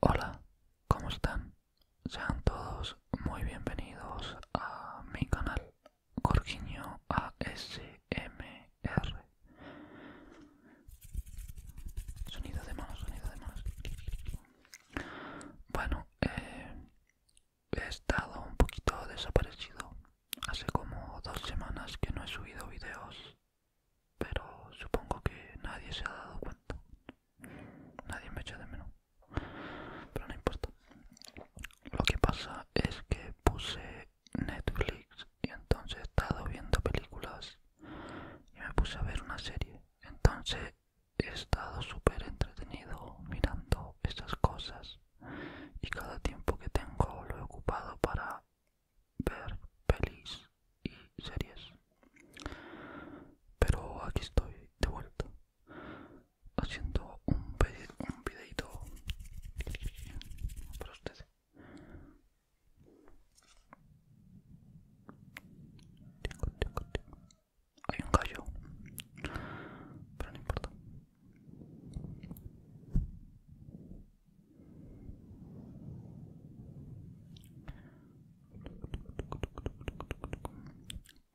Hola, ¿cómo están? Sean todos muy bienvenidos a mi canal Corquiño ASMR. Sonido de manos, sonido de manos. Bueno, eh, he estado un poquito desaparecido. Hace como dos semanas que no he subido videos pero supongo que nadie se ha dado cuenta. Nadie me echa de menos, pero no importa. Lo que pasa es que puse Netflix y entonces he estado viendo películas y me puse a ver una serie. Entonces he estado súper entretenido mirando esas cosas y cada tiempo que tengo lo he ocupado para ver pelis y series. Pero aquí estoy de vuelta haciendo un, un videito para ustedes. Hay un gallo, pero no importa.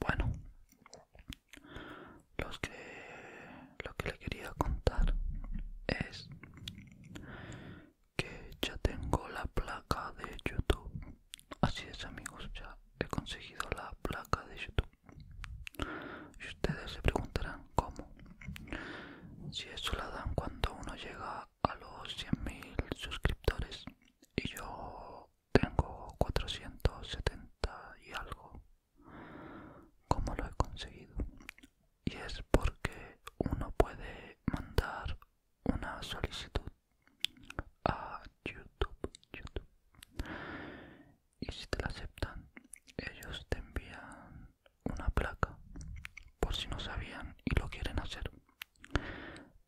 Bueno, que, lo que le quería contar es que ya tengo la placa de YouTube. Así es, amigos, ya he conseguido la placa de YouTube. Y ustedes se preguntarán cómo. Si eso la dan cuando uno llega a los 100.000 suscriptores y yo tengo 470 y algo. ¿Cómo lo he conseguido? Y es porque uno puede mandar una solicitud a YouTube. Y si te la aceptan, ellos te envían una placa por si no sabían y lo quieren hacer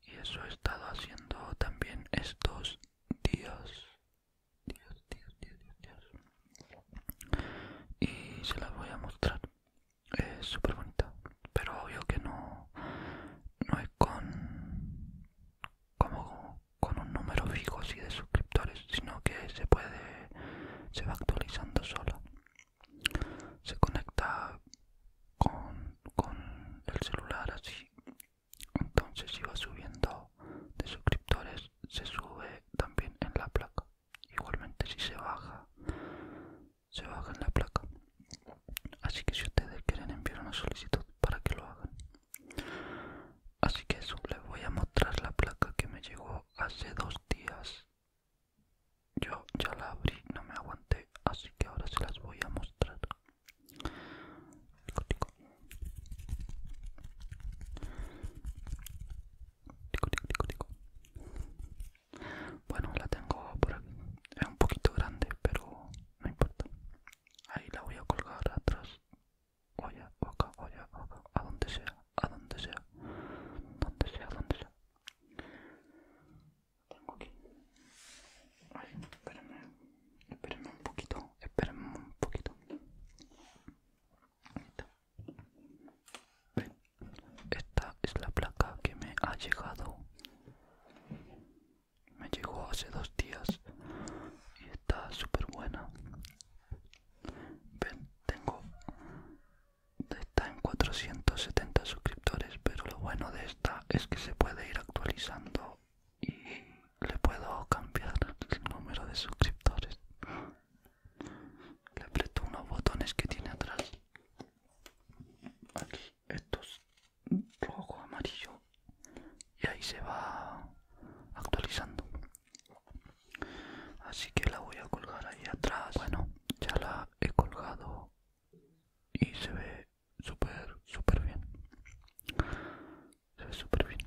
y eso he estado haciendo también estos días y se las voy a mostrar es súper bonita pero obvio que no no es con como con un número fijo así de suscriptores sino que se puede se va actualizando sola se conecta con, con el celular así entonces si va subiendo de suscriptores se sube también en la placa igualmente si se baja se baja en la placa así que si ustedes quieren enviar una solicitud para que lo hagan así que eso les voy a mostrar la placa que me llegó hace dos días. Yo ya la abrí, no me aguanté, así que ahora se las voy a mostrar. Bueno, la tengo por aquí. Es un poquito grande, pero no importa. Ahí la voy a colgar atrás oye oca, oye oca, a donde sea, a donde sea, donde sea, donde sea. Tengo aquí. Ay, espérenme, espérenme un poquito, espérenme un poquito. Ahí está. Esta es la placa que me ha llegado. Me llegó hace dos días y está súper buena tengo. Está en 470 suscriptores, pero lo bueno de esta es que se puede ir actualizando y le puedo cambiar el número de suscriptores. Le aprieto unos botones que tiene atrás. Aquí, estos rojo, amarillo. Y ahí se va actualizando así que la voy a colgar ahí atrás bueno ya la he colgado y se ve súper súper bien se ve súper bien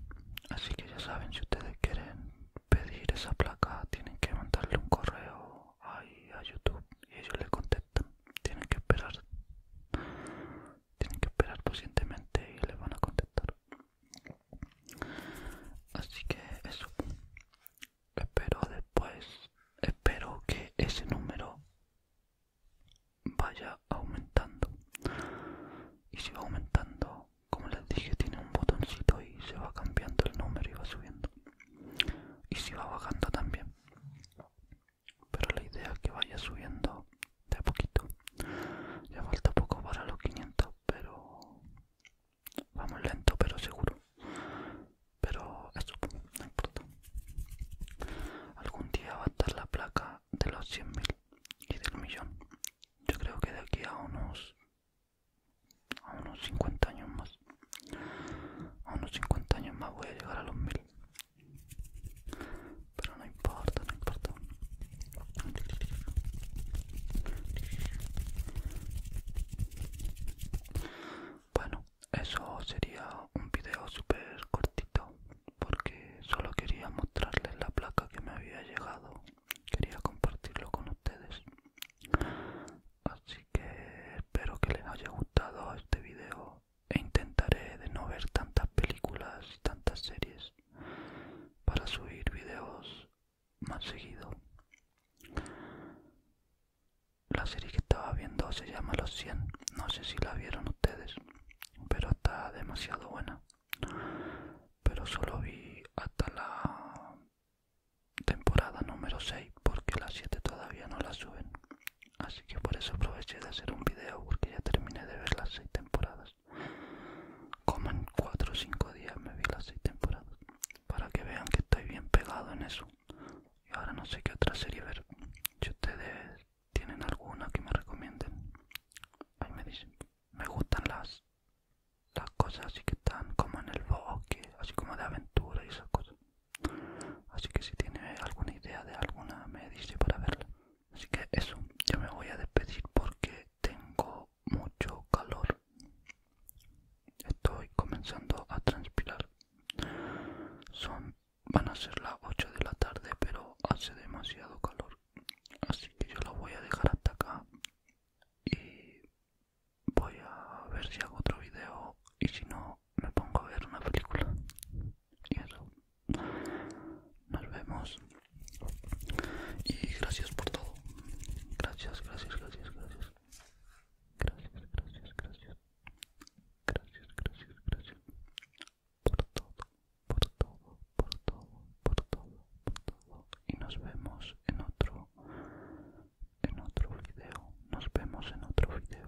así que ya saben si ustedes quieren pedir esa placa tienen que mandarle un correo ahí a youtube y ellos le contestan tienen que esperar tienen que esperar pacientemente y les van a contestar así que eso espero después espero que ese número vaya aumentando y si va aumentando como les dije tiene un botoncito y se va cambiando el número y va subiendo y si va bajando también pero la idea es que vaya subiendo de poquito. Ya falta poco para los 500, pero vamos lento, pero seguro. Pero eso no importa. Algún día va a estar la placa de los 100.000 y del millón. Yo creo que de aquí a unos a unos 50 años más. A unos 50 años más voy a llegar a los 1000. Pero no importa, no importa. Bueno, eso sería un video super cortito porque solo quería mostrarles la placa que me había llegado. Quería compartirlo con ustedes. Así que espero que les haya gustado este video e intentaré de no ver tantas películas y tantas series para subir videos más seguido. La serie que estaba viendo se llama Los 100, no sé si la vieron ustedes, pero está demasiado buena. Pero solo vi hasta la temporada número 6 porque las 7 todavía no la suben. Así que por eso aproveché de hacer un video porque ya terminé de ver las 6 temporadas. Como en 4 o 5 días me vi las 6 temporadas. Para que vean que estoy bien pegado en eso. Y ahora no sé qué otra serie ver. Si ustedes tienen alguna que me recomienden, ahí me dicen. Me gustan las, las cosas así que están como en el bosque, así como de aventura y esas cosas. Así que si tiene alguna idea de alguna, me dice para verla. Así que eso, yo me voy a despedir porque tengo mucho calor. Estoy comenzando a transpirar. Son, van a ser las 8 de la tarde, pero hace demasiado calor. Así que yo lo voy a dejar hasta acá. Y voy a ver si hago otro video. Y si no, me pongo a ver una película. Y eso. Nos vemos. Y gracias por todo. Gracias, gracias, gracias, gracias. Gracias, gracias, gracias. Gracias, gracias, gracias. Por todo, por todo, por todo, por todo, Y nos vemos en otro en otro video. Nos vemos en otro video.